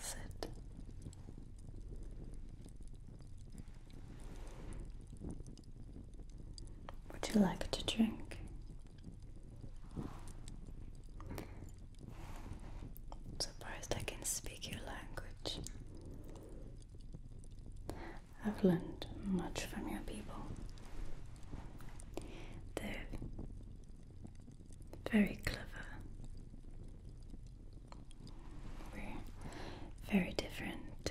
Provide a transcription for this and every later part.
Sit. Would you like to drink? i surprised I can speak your language. I've learned much from your people. Though very clever. We're very different.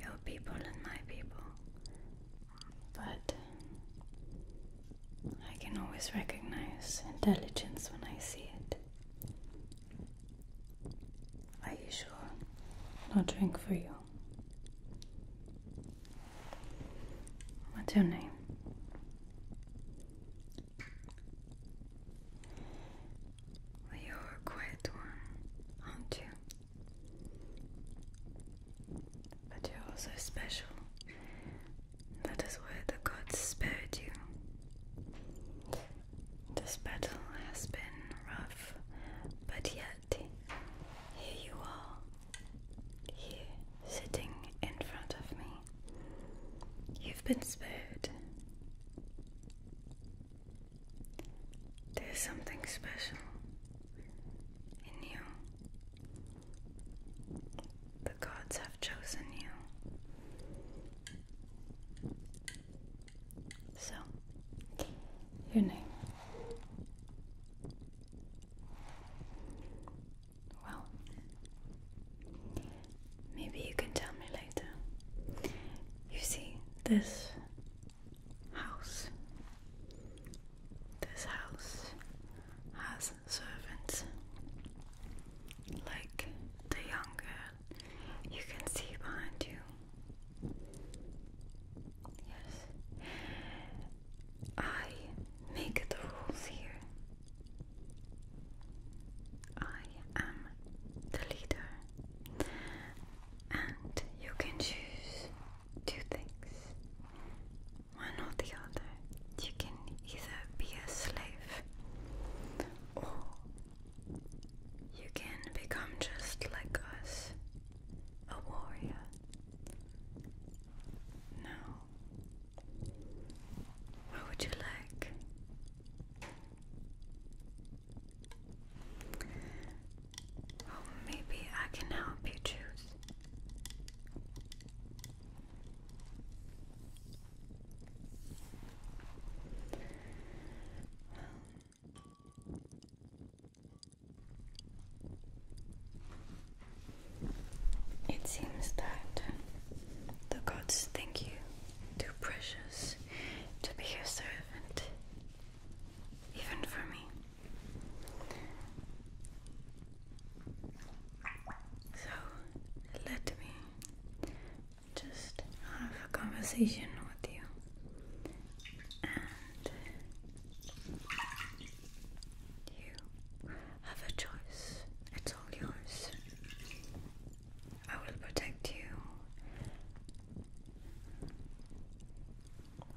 Your people and my people. But I can always recognize intelligence when I see it. Are you sure? I'll drink for you. What's your name? you're a one, aren't you? But you're also special. That is why the gods spared you. This battle has been rough, but yet here you are, here, sitting in front of me. You've been spared. There's something special in you. The gods have chosen you. So, your name. Well, maybe you can tell me later. You see, this house, this house has servants. Like the young girl you can see behind you. Yes. I make the rules here. I am the leader, and you can choose two things one or the other. You can either be a slave or you can become just like us, a warrior, now, what would you like? Oh, maybe I can help you choose. It seems that the gods think you too precious to be your servant, even for me. So let me just have a conversation with you you have a choice, it's all yours. I will protect you.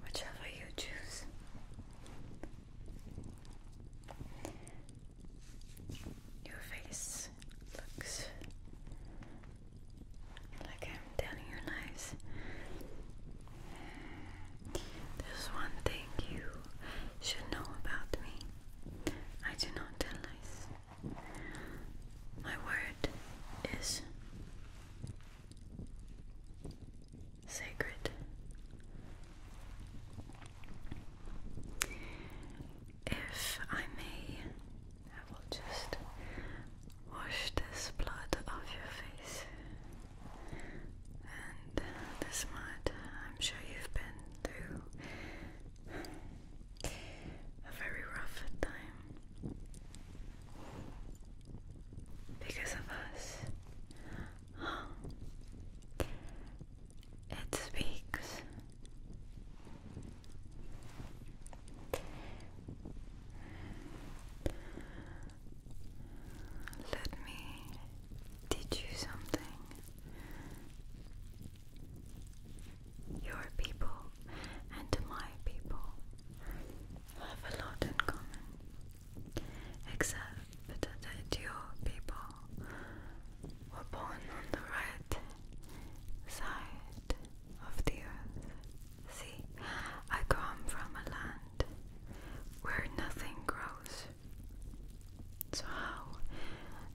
Whichever you choose. Your face looks like I'm telling you lies. There's one thing you should know about me. I do not tell lies. My word is sacred. If I may, I will just wash this blood off your face and this mud, I'm sure you've been through a very rough time. Because of us, it speaks. Let me teach you something. Your people and my people have a lot in common, except that your people were born on the right side of the earth. See, I come from a land where nothing grows. So, how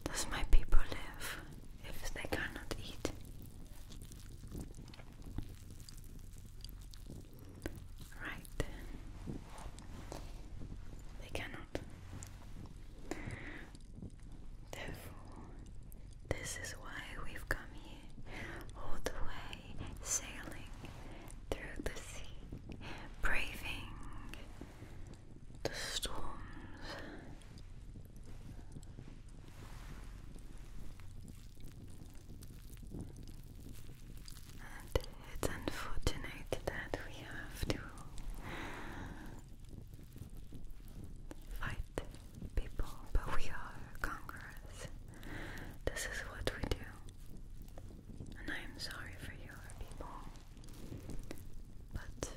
does my people live if they cannot eat? Right. They cannot. Therefore, this is why we've come all the way sailing through the sea, braving the storms. And it's unfortunate that we have to fight people, but we are conquerors. This is what we do and I am sorry for your people, but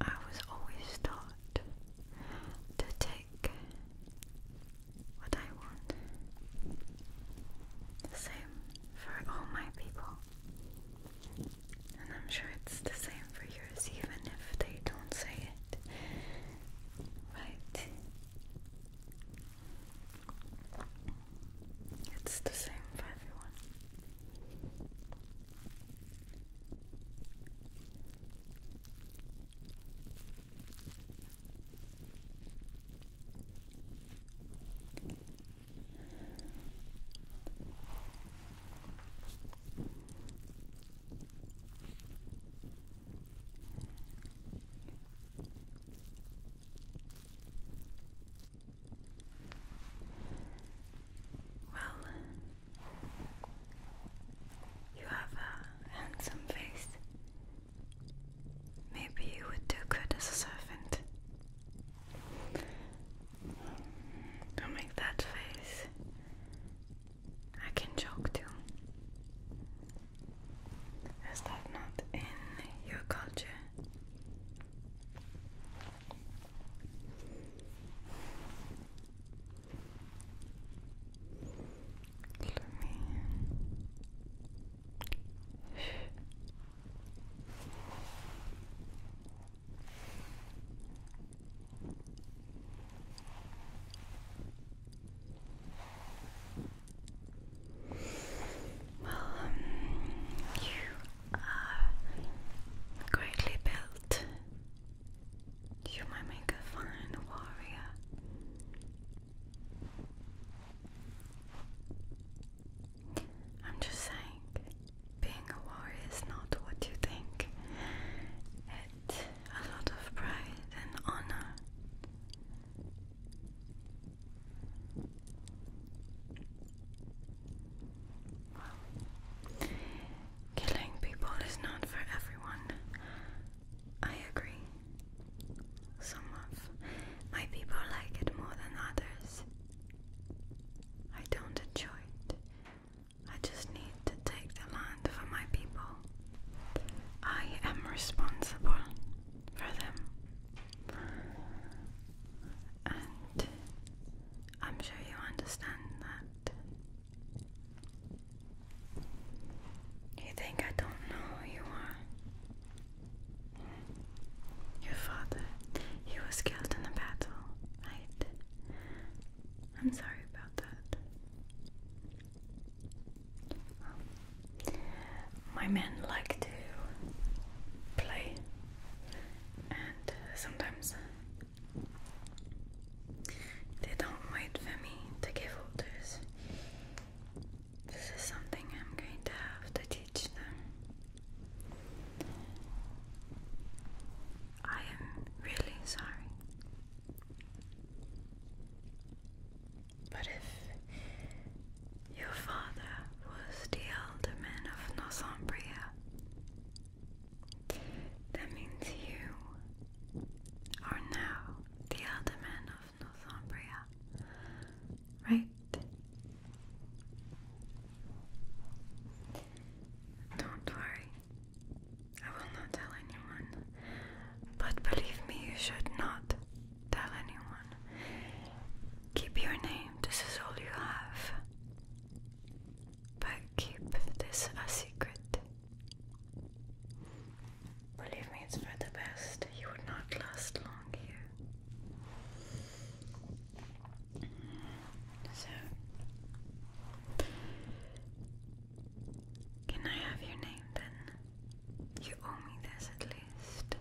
I was always taught to take what I want. The same for all my people, and I'm sure it's the same for yours, even if they don't say it. Right. It's the same for everyone. Well, you have a handsome face. Maybe you would do good as a servant. Don't make that face. I can joke too. Is that not in your culture? Let well, um, you are greatly built. You might make a fine warrior. I'm just saying, being a warrior is not what you think a lot of pride and honor. Well, killing people is not for everyone. I agree. Some of my people like it more than others. I don't enjoy it, I just need to take the land for my people. I am responsible for them. And I'm sure you understand that. You think I don't know who you are? Your father, he was killed in the battle, right? I'm sorry about that. Um, my men like to play, and sometimes they don't wait for me to give orders. This is something I'm going to have to teach them. I am really sorry but if your father was the alderman of Northumbria, that means you are now the alderman of Northumbria, right? Don't worry, I will not tell anyone. But believe me, you should not tell anyone. Keep your name, this is all you have. But keep this a secret. Believe me, it's for the best. You would not last long here. So, can I have your name then? You owe me this at least.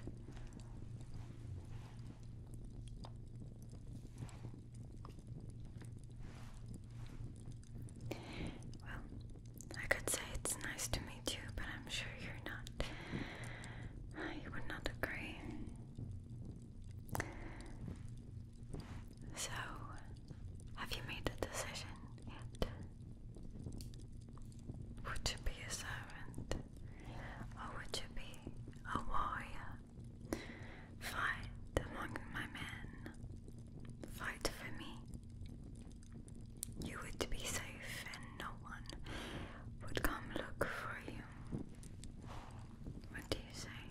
Well, I could say it's nice to meet you, but I'm sure you're not. You would not agree. So, have you made a decision yet? Would you be a servant? Or would you be a warrior? Fight among my men. Fight for me. You would be safe and no one would come look for you. What do you say?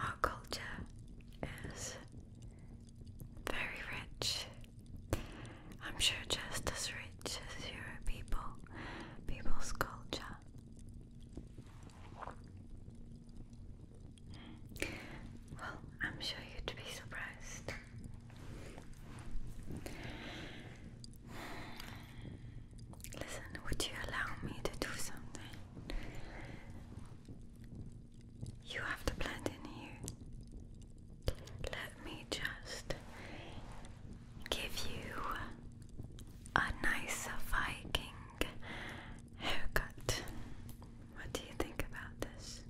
Our culture is very rich. I'm sure just as rich as your people, people's culture. Well, I'm sure you'd be surprised. Listen, would you allow me to do something? You have to blend in here. Let me just give you a nice Viking haircut. What do you think about this?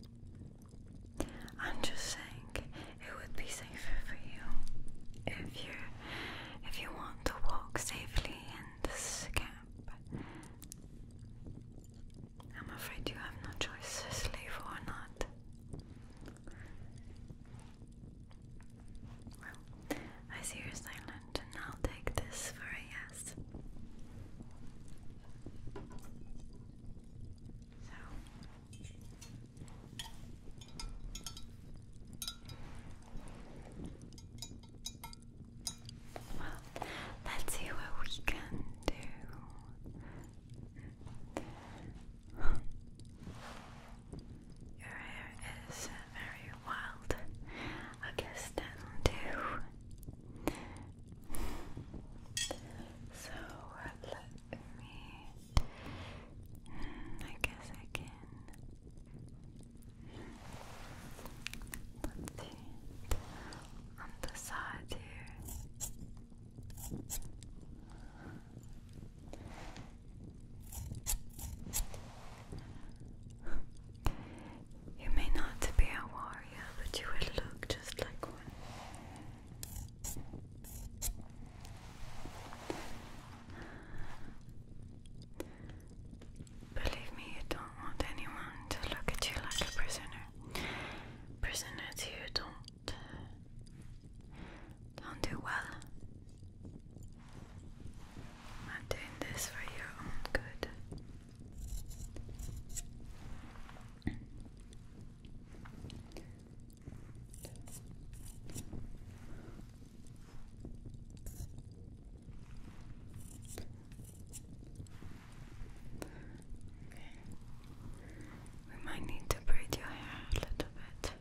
I'm just saying it would be safer for you if you if you want to walk safely in this camp. I'm afraid you have no choice, slave or not. Well, I see you're silent, and I'll take this for a yes. So let's see what we can do. Your hair is very wild. I guess that'll So let me. Hmm, I guess I can Put it on the side here. You may not be a warrior, but you will look just like one. Believe me, you don't want anyone to look at you like a prisoner. Prisoners you don't don't do well. I'm doing this for your own good. We might need to braid your hair a little bit.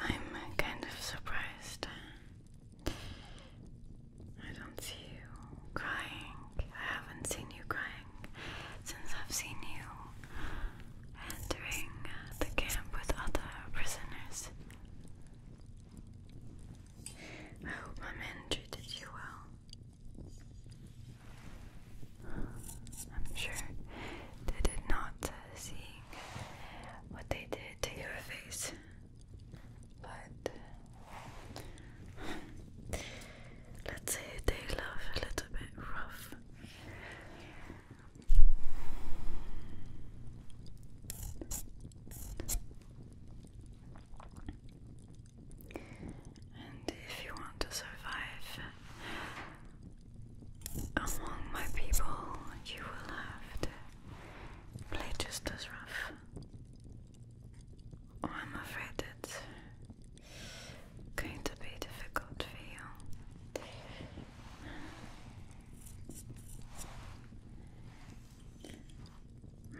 I'm kind of surprised. I don't see you crying. I haven't seen you crying since I've seen you entering the camp with other prisoners. I hope my men treated you well. I'm sure they did not, uh, seeing what they did to your face. But let's say they love a little bit rough. And if you want to survive among my people, you will have to play just as rough. Oh, I'm afraid that going to be difficult for you.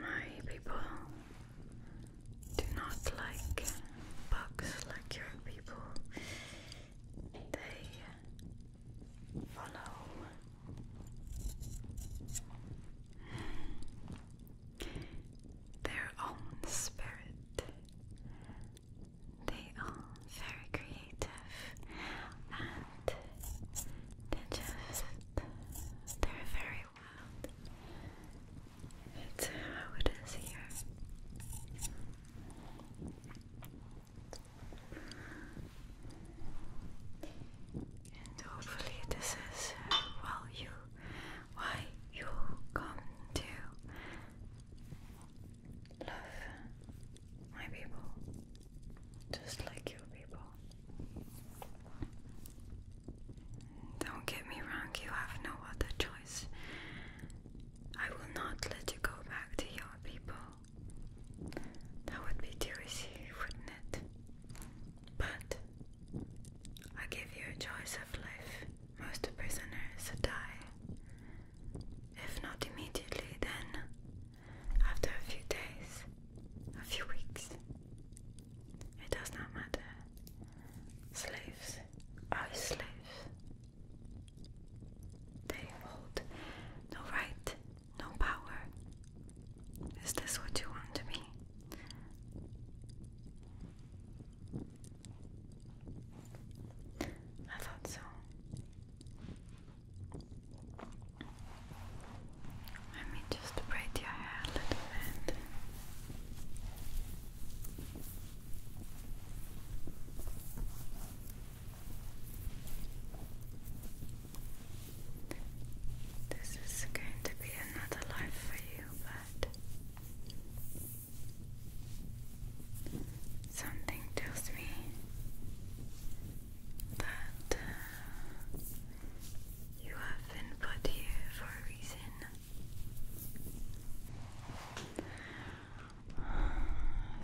My people do not like bugs like your people. They follow their own spirit. They are very creative and they just they're very wild. It's how it is here. And hopefully this is uh, well used why you come to love my people just like your people. Don't get me wrong, you have no other choice. I will not let you go back to your people. That would be too wouldn't it? But I give you a choice of life. Most prisoners die. If not immediately, then after a few days, a few weeks. It does not matter. Slaves are slaves. They hold no right, no power. Is this what you want to be? I thought so. Let me just braid your hair a little bit. This is going to be another life for you, Something tells me that uh, you have been put here for a reason.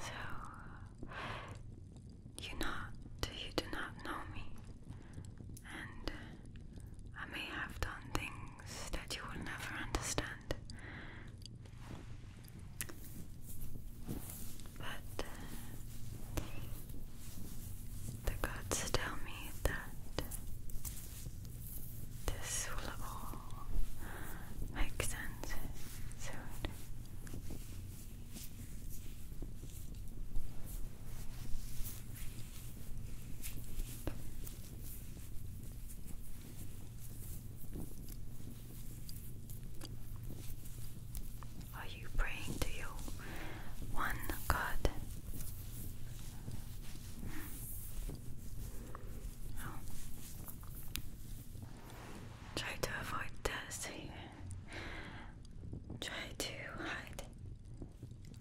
So you do not know me and I may have done things that you will never understand. But uh, the gods tell me that this will all make sense soon. Are you praying to your one God? Hmm. Oh. Try to avoid this. Try to hide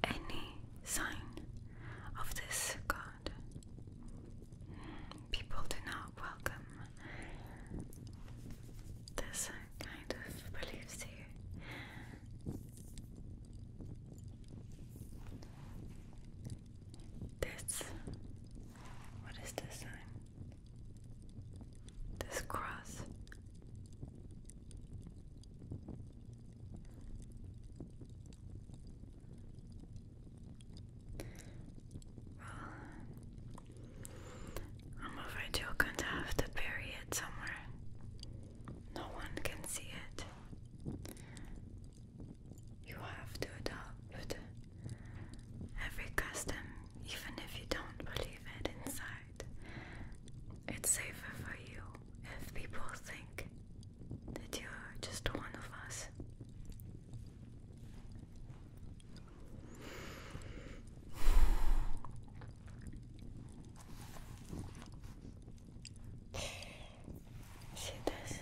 any sign of this god. People do not welcome this kind of beliefs here. This, what is this sign? This cross. I'm afraid you're going to have to bury it somewhere. No one can see it. You have to adopt every custom, even if you don't believe it inside. It's safer for you if people think that you're just one of us. See this?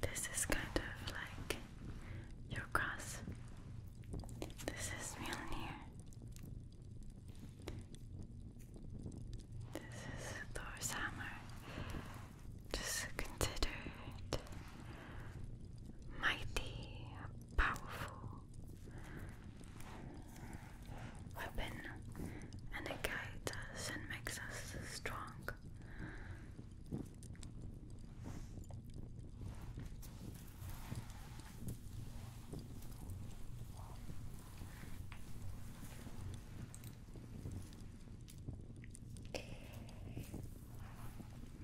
This is kind of like your cross. This is Mjolnir. This is Thor's hammer. Just considered mighty, powerful weapon, and it guides us and makes us strong.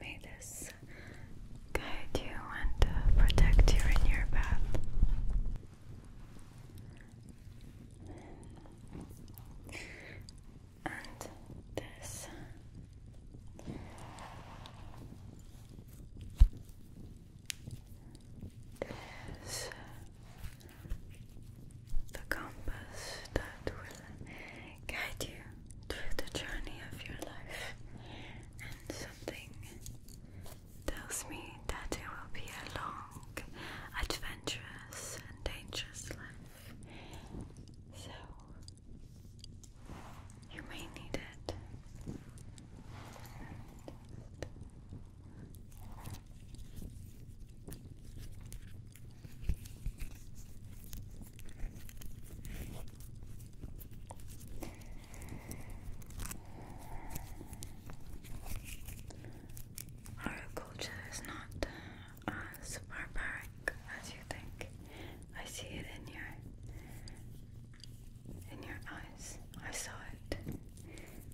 May this guide you and uh, protect you in your path. And this the compass that will guide you through the journey of your life, and something tells me that it will be a long, adventurous, and dangerous life. So, you may need it. Our culture is not uh, as barbaric as you think. I see it in your in your eyes. I saw it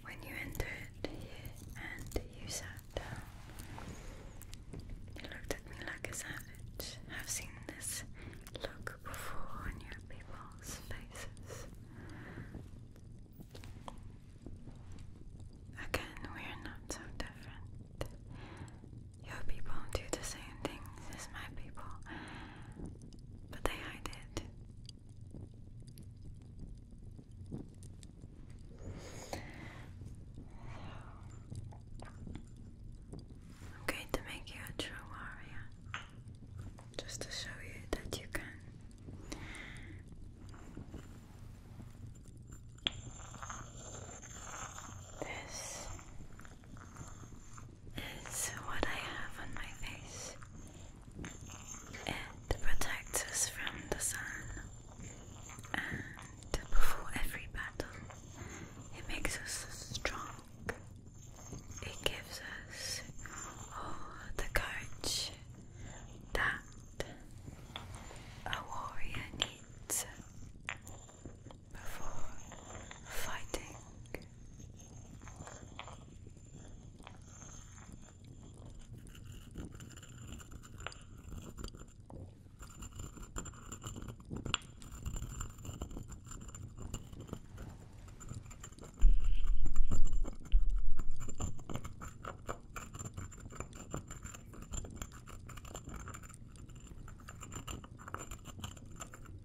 when you entered here and you sat down. You looked at me like a savage. I've seen this look before on your people's faces. Again, we are not so different. Your people do the same things as my people but they hide it. I'm going to make you a true warrior just to show you that you can. This is what I have on my face. It protects us from the sun and before every battle it makes us strong. It gives us all the courage that a warrior needs before fighting.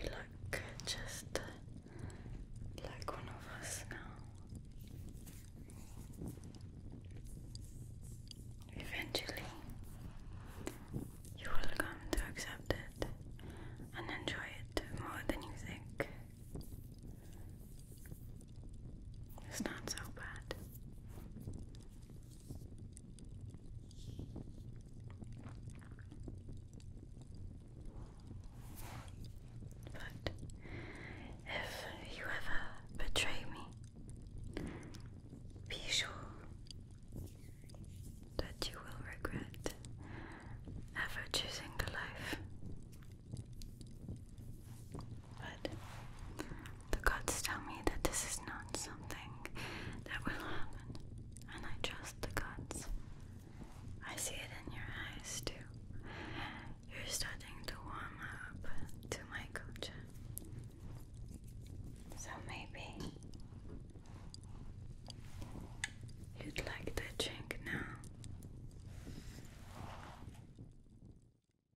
You look just like one of us now. Eventually, you will come to accept it and enjoy it more than you think. It's not so bad. But if you ever betray me, be sure that you will regret ever choosing life but the gods tell me that this is not something that will happen, and I trust the gods. I see it in your eyes too. You're starting to warm up to my culture. So maybe you'd like to drink now.